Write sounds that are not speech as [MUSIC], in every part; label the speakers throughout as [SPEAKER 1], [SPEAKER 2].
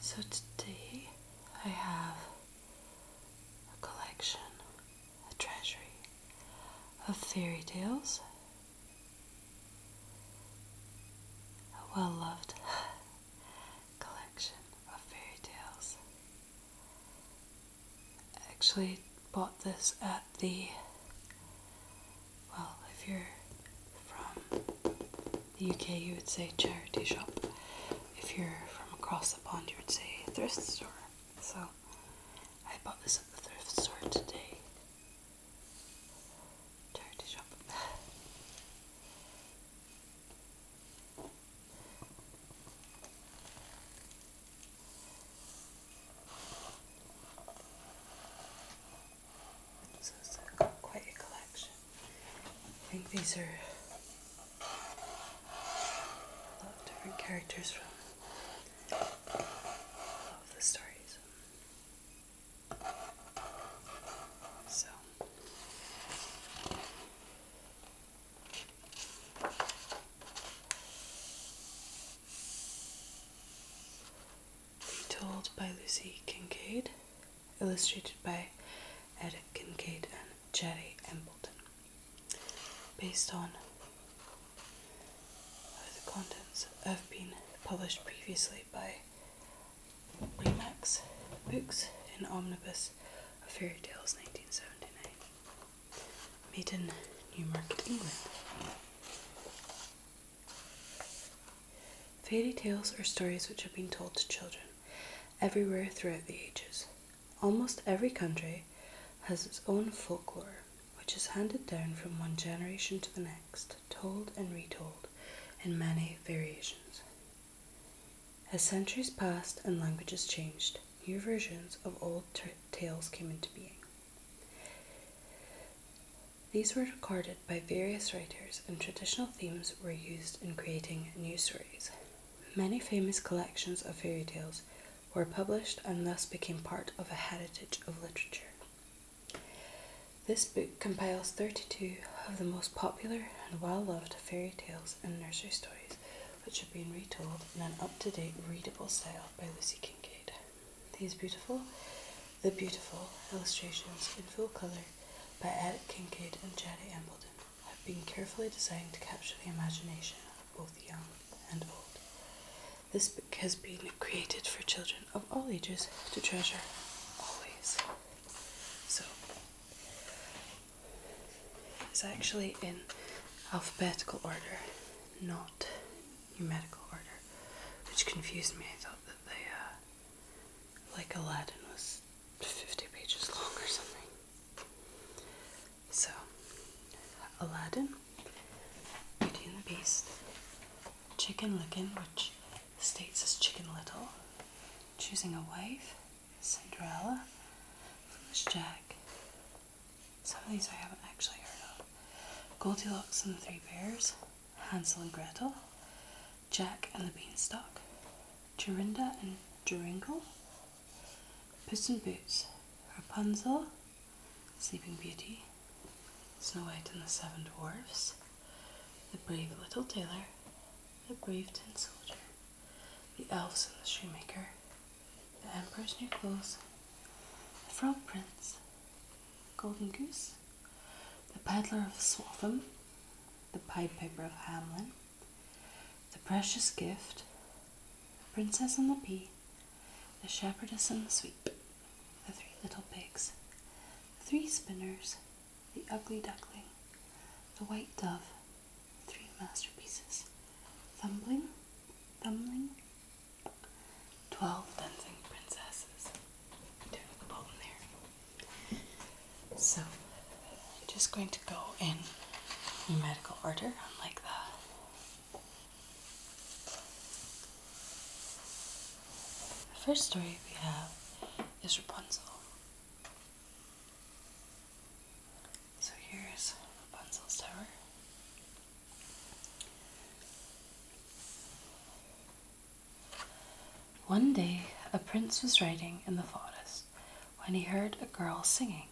[SPEAKER 1] So today I have a collection, a treasury of fairy tales. A well loved [SIGHS] collection of fairy tales actually bought this at the well, if you're from the UK, you would say charity shop. If you're from across the pond, you would say thrift store. So I bought this at the thrift store today. Charity shop. So it's quite a collection. I think these are a lot of different characters from all of the stories. So Retold by Lucy Kincaid, illustrated by Ed Kincaid and Jerry Embleton. Based on the contents have been published previously by Remax Books in Omnibus of Fairy Tales 1979 made in Newmarket, England. Fairy tales are stories which have been told to children everywhere throughout the ages. Almost every country has its own folklore, which is handed down from one generation to the next, told and retold in many variations. As centuries passed and languages changed, new versions of old tales came into being. These were recorded by various writers, and traditional themes were used in creating new stories. Many famous collections of fairy tales were published and thus became part of a heritage of literature. This book compiles 32 of the most popular and well loved fairy tales and nursery stories which have been retold in an up to date readable style by Lucy Kincaid. These beautiful, the beautiful illustrations in full colour by Eric Kincaid and Jada Embledon have been carefully designed to capture the imagination of both young and old. This book has been created for children of all ages to treasure always. So, it's actually in alphabetical order, not numerical order, which confused me. I thought that they, uh, like Aladdin, was 50 pages long or something. So, Aladdin, Beauty and the Beast, Chicken Licken, which states as Chicken Little, Choosing a Wife, Cinderella, Foolish Jack, some of these I haven't actually heard of. Goldilocks and the Three Bears, Hansel and Gretel, Jack and the Beanstalk, Jorinda and Joringel, Puss in Boots, Rapunzel, Sleeping Beauty, Snow White and the Seven Dwarfs, The Brave Little Tailor, The Brave Tin Soldier, The Elves and the Shoemaker, the Emperor's New Clothes, The Frog Prince, Golden Goose, The Peddler of Swaffham, The Pied Piper of Hamlin, The Precious Gift, The Princess and the Pea, The Shepherdess and the Sweep, The Three Little Pigs, The Three Spinners, The Ugly Duckling, The White Dove, three masterpieces Thumbling, Thumbling, Twelve Dancing Princesses. Down at the So, I'm just going to go in numerical order, unlike that. The first story we have is Rapunzel. So here's Rapunzel's tower. One day a prince was riding in the forest when he heard a girl singing.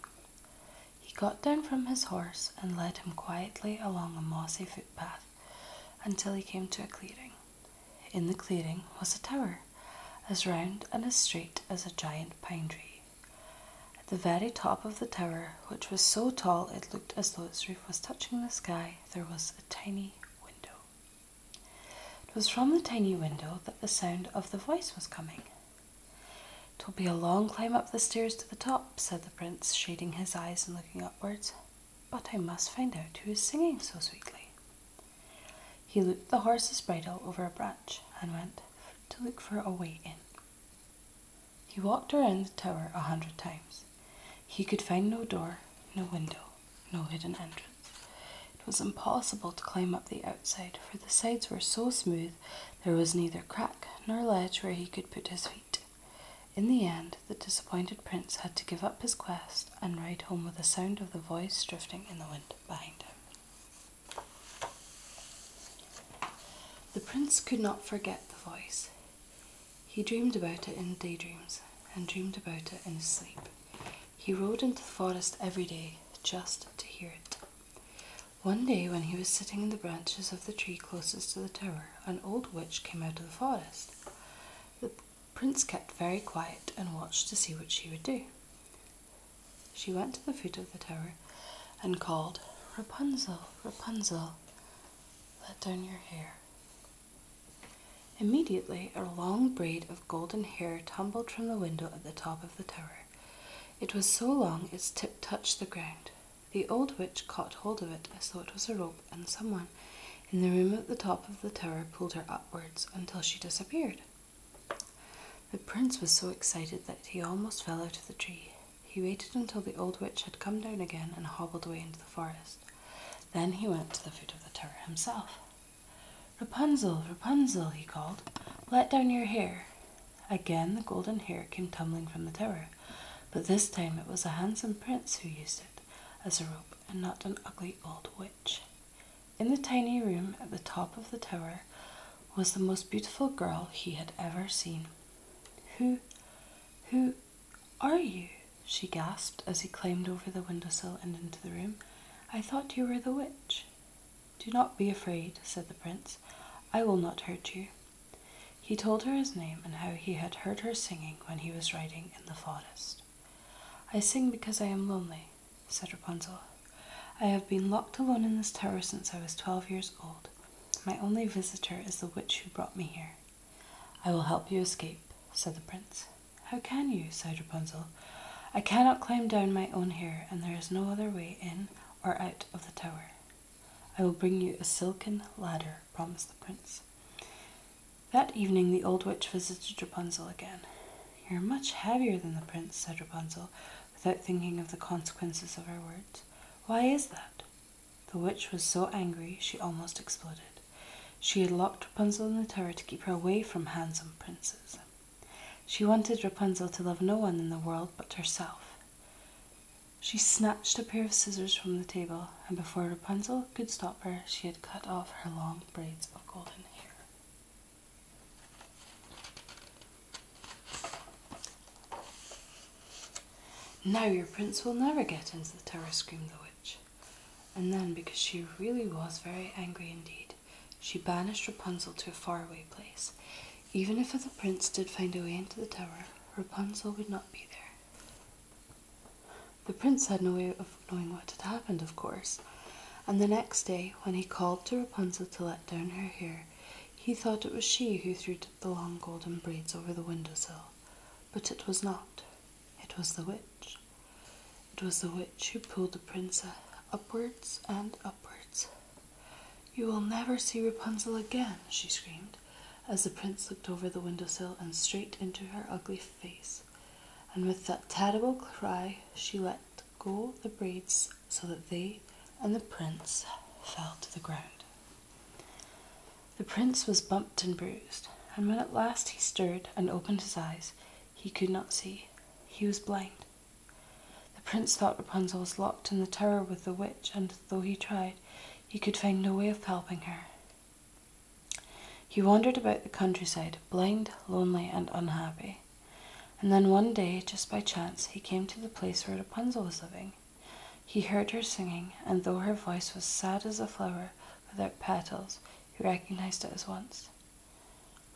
[SPEAKER 1] He got down from his horse and led him quietly along a mossy footpath until he came to a clearing. In the clearing was a tower, as round and as straight as a giant pine tree. At the very top of the tower, which was so tall it looked as though its roof was touching the sky, there was a tiny window. It was from the tiny window that the sound of the voice was coming. It will be a long climb up the stairs to the top, said the prince, shading his eyes and looking upwards, but I must find out who is singing so sweetly. He looped the horse's bridle over a branch and went to look for a way in. He walked around the tower a hundred times. He could find no door, no window, no hidden entrance. It was impossible to climb up the outside, for the sides were so smooth there was neither crack nor ledge where he could put his feet. In the end, the disappointed prince had to give up his quest and ride home with the sound of the voice drifting in the wind behind him. The prince could not forget the voice. He dreamed about it in daydreams and dreamed about it in his sleep. He rode into the forest every day just to hear it. One day, when he was sitting in the branches of the tree closest to the tower, an old witch came out of the forest. The prince kept very quiet and watched to see what she would do. She went to the foot of the tower and called, Rapunzel, Rapunzel, let down your hair. Immediately, a long braid of golden hair tumbled from the window at the top of the tower. It was so long its tip touched the ground. The old witch caught hold of it as though it was a rope, and someone in the room at the top of the tower pulled her upwards until she disappeared. The prince was so excited that he almost fell out of the tree. He waited until the old witch had come down again and hobbled away into the forest. Then he went to the foot of the tower himself. Rapunzel, Rapunzel, he called, let down your hair. Again the golden hair came tumbling from the tower, but this time it was a handsome prince who used it as a rope and not an ugly old witch. In the tiny room at the top of the tower was the most beautiful girl he had ever seen. Who, who are you? she gasped as he climbed over the windowsill and into the room. I thought you were the witch. Do not be afraid, said the prince. I will not hurt you. He told her his name and how he had heard her singing when he was riding in the forest. I sing because I am lonely, said Rapunzel. I have been locked alone in this tower since I was twelve years old, my only visitor is the witch who brought me here. I will help you escape, said the prince. How can you? sighed Rapunzel. I cannot climb down my own hair, and there is no other way in or out of the tower. I will bring you a silken ladder, promised the prince. That evening the old witch visited Rapunzel again. You're much heavier than the prince, said Rapunzel without thinking of the consequences of her words. Why is that? The witch was so angry she almost exploded. She had locked Rapunzel in the tower to keep her away from handsome princes. She wanted Rapunzel to love no one in the world but herself. She snatched a pair of scissors from the table, and before Rapunzel could stop her, she had cut off her long braids of golden hair. Now your prince will never get into the tower, screamed the witch. And then, because she really was very angry indeed, she banished Rapunzel to a faraway place. Even if the prince did find a way into the tower, Rapunzel would not be there. The prince had no way of knowing what had happened, of course, and the next day, when he called to Rapunzel to let down her hair, he thought it was she who threw the long golden braids over the window sill, but it was not. It was the witch. It was the witch who pulled the prince upwards and upwards. You will never see Rapunzel again, she screamed, as the prince looked over the window sill and straight into her ugly face. And with that terrible cry, she let go the braids so that they and the prince fell to the ground. The prince was bumped and bruised, and when at last he stirred and opened his eyes, he could not see. He was blind. The prince thought Rapunzel was locked in the tower with the witch, and though he tried, he could find no way of helping her. He wandered about the countryside, blind, lonely, and unhappy. And then one day, just by chance, he came to the place where Rapunzel was living. He heard her singing, and though her voice was sad as a flower without petals, he recognized it at once.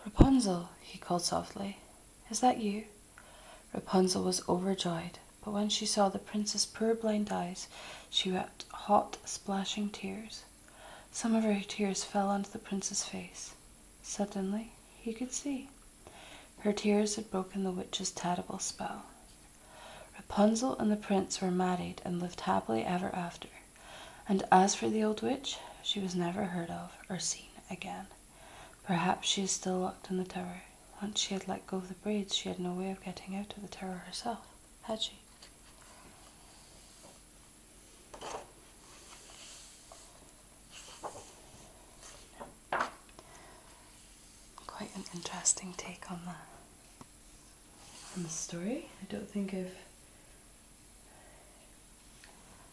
[SPEAKER 1] Rapunzel, he called softly, is that you? Rapunzel was overjoyed, but when she saw the prince's poor blind eyes, she wept hot, splashing tears. Some of her tears fell onto the prince's face. Suddenly, he could see. Her tears had broken the witch's terrible spell. Rapunzel and the prince were married and lived happily ever after, and as for the old witch, she was never heard of or seen again. Perhaps she is still locked in the tower. Once she had let go of the braids, she had no way of getting out of the tower herself, had she? Quite an interesting take on that on the story. I don't think I've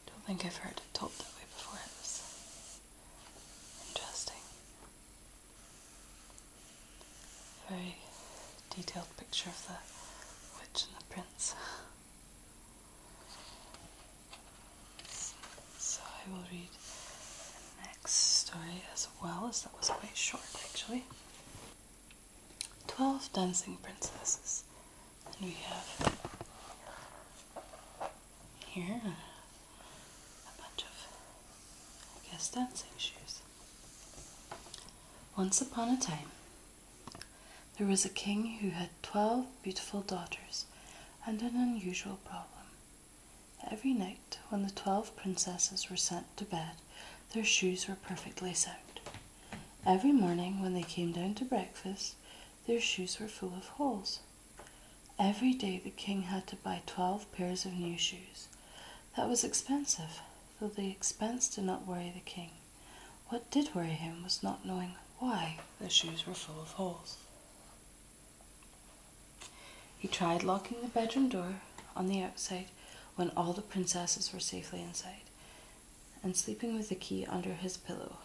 [SPEAKER 1] don't think I've heard it told that way before. It interesting. Very detailed picture of the witch and the prince. So I will read the next story as well, as that was quite short actually. Twelve Dancing Princesses. And we have here a bunch of, I guess, dancing shoes. Once upon a time, there was a king who had twelve beautiful daughters and an unusual problem. Every night, when the twelve princesses were sent to bed, their shoes were perfectly sound. Every morning, when they came down to breakfast, their shoes were full of holes. Every day, the king had to buy twelve pairs of new shoes. That was expensive, though the expense did not worry the king. What did worry him was not knowing why their shoes were full of holes. He tried locking the bedroom door on the outside when all the princesses were safely inside, and sleeping with the key under his pillow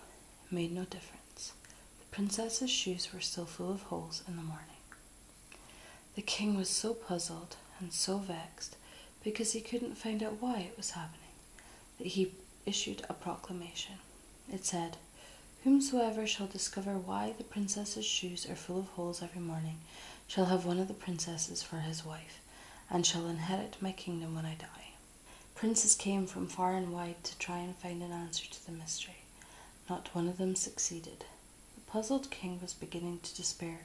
[SPEAKER 1] made no difference. The princesses' shoes were still full of holes in the morning. The king was so puzzled and so vexed because he couldn't find out why it was happening that he issued a proclamation. It said, Whomsoever shall discover why the princess's shoes are full of holes every morning shall have one of the princesses for his wife, and shall inherit my kingdom when I die. Princes came from far and wide to try and find an answer to the mystery. Not one of them succeeded. The puzzled king was beginning to despair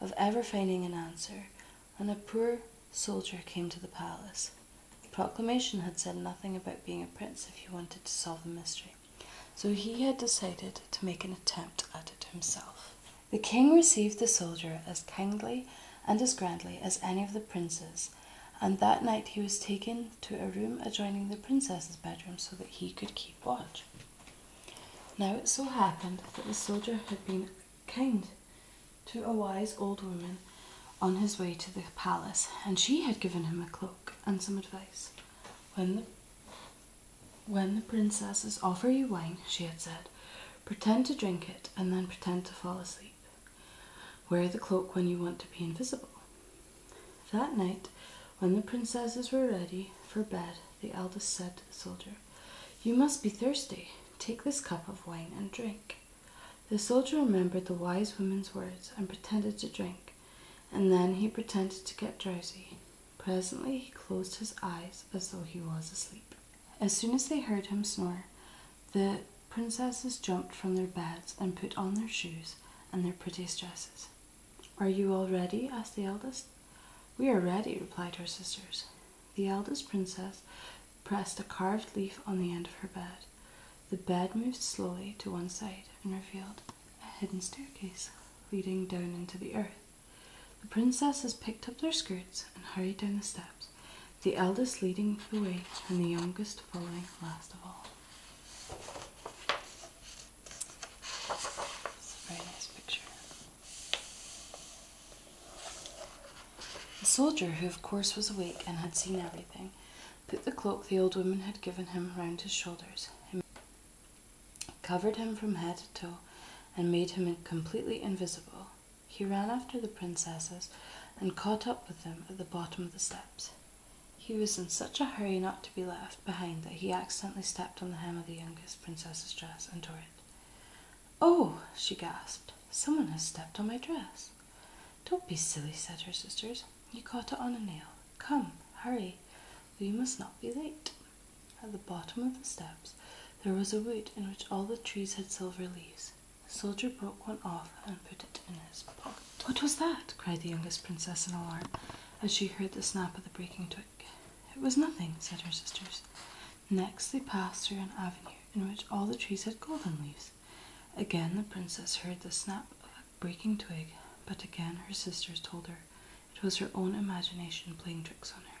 [SPEAKER 1] of ever finding an answer, when a poor soldier came to the palace. The proclamation had said nothing about being a prince if he wanted to solve the mystery, so he had decided to make an attempt at it himself. The king received the soldier as kindly and as grandly as any of the princes, and that night he was taken to a room adjoining the princess's bedroom so that he could keep watch. Now it so happened that the soldier had been kind to a wise old woman on his way to the palace, and she had given him a cloak and some advice. When the, princesses offer you wine, she had said, pretend to drink it and then pretend to fall asleep. Wear the cloak when you want to be invisible. That night, when the princesses were ready for bed, the eldest said to the soldier, You must be thirsty. Take this cup of wine and drink. The soldier remembered the wise woman's words and pretended to drink, and then he pretended to get drowsy. Presently he closed his eyes as though he was asleep. As soon as they heard him snore, the princesses jumped from their beds and put on their shoes and their prettiest dresses. Are you all ready? asked the eldest. We are ready, replied her sisters. The eldest princess pressed a carved leaf on the end of her bed. The bed moved slowly to one side and revealed a hidden staircase leading down into the earth. The princesses picked up their skirts and hurried down the steps, the eldest leading the way and the youngest following last of all. a very nice picture. The soldier, who of course was awake and had seen everything, put the cloak the old woman had given him round his shoulders, covered him from head to toe, and made him completely invisible. He ran after the princesses and caught up with them at the bottom of the steps. He was in such a hurry not to be left behind that he accidentally stepped on the hem of the youngest princess's dress and tore it. Oh, she gasped, someone has stepped on my dress. Don't be silly, said her sisters. You caught it on a nail. Come, hurry, we must not be late. At the bottom of the steps there was a wood in which all the trees had silver leaves. The soldier broke one off and put it in his pocket. What was that? cried the youngest princess in alarm as she heard the snap of the breaking twig. It was nothing, said her sisters. Next they passed through an avenue in which all the trees had golden leaves. Again the princess heard the snap of breaking twig, but again her sisters told her it was her own imagination playing tricks on her.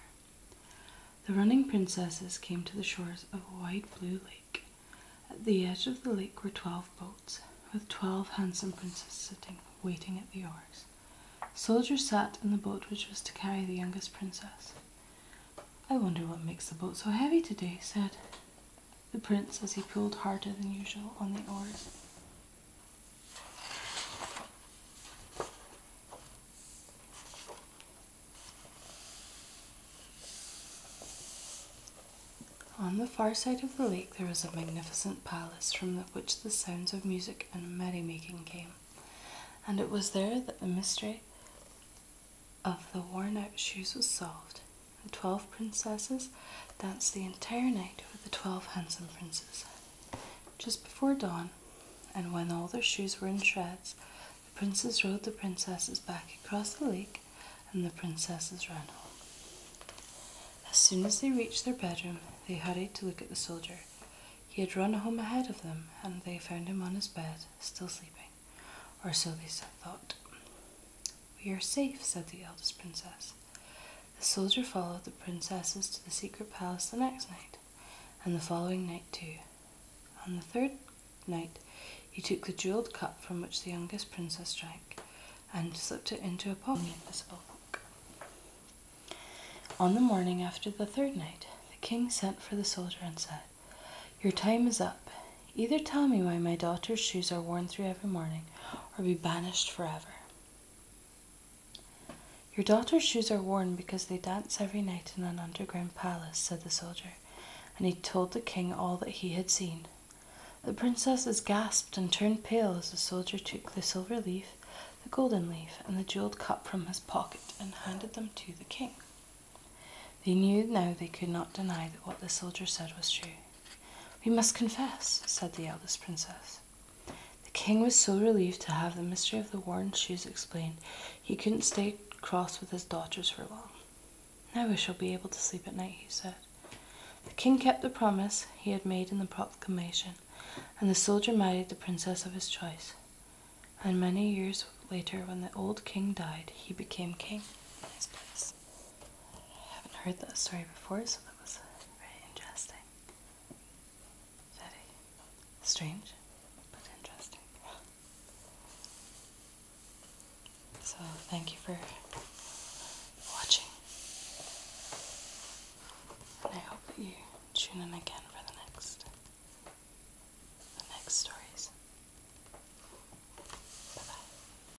[SPEAKER 1] The running princesses came to the shores of a wide blue lake. At the edge of the lake were twelve boats, with twelve handsome princes sitting, waiting at the oars. Soldiers sat in the boat which was to carry the youngest princess. I wonder what makes the boat so heavy today, said the prince as he pulled harder than usual on the oars. On the far side of the lake there was a magnificent palace from which the sounds of music and merrymaking came, and it was there that the mystery of the worn out shoes was solved. The 12 princesses. danced the entire night with the 12 handsome princes. Just before dawn, and when all their shoes were in shreds, the princes rowed the princesses back across the lake and the princesses ran home. As soon as they reached their bedroom, they hurried to look at the soldier. He had run home ahead of them, and they found him on his bed, still sleeping, or so they thought. We are safe, said the eldest princess. The soldier followed the princesses to the secret palace the next night, and the following night too. On the third night, he took the jeweled cup from which the youngest princess drank, and slipped it into a pocket of his cloak. On the morning after the third night, the king sent for the soldier and said, Your time is up. Either tell me why my daughter's shoes are worn through every morning, or be banished forever. Your daughter's shoes are worn because they dance every night in an underground palace, said the soldier, and he told the king all that he had seen. The princesses gasped and turned pale as the soldier took the silver leaf, the golden leaf, and the jeweled cup from his pocket and handed them to the king. They knew now they could not deny that what the soldier said was true. We must confess, said the eldest princess. The king was so relieved to have the mystery of the worn shoes explained, he couldn't stay cross with his daughters for long. Now we shall be able to sleep at night, he said. The king kept the promise he had made in the proclamation, and the soldier married the princess of his choice. And many years later, when the old king died, he became king in his place. I haven't heard that story before, so that was very interesting. Very strange, but interesting. So, thank you for watching. And I hope that you tune in again for the next the next stories. Bye bye.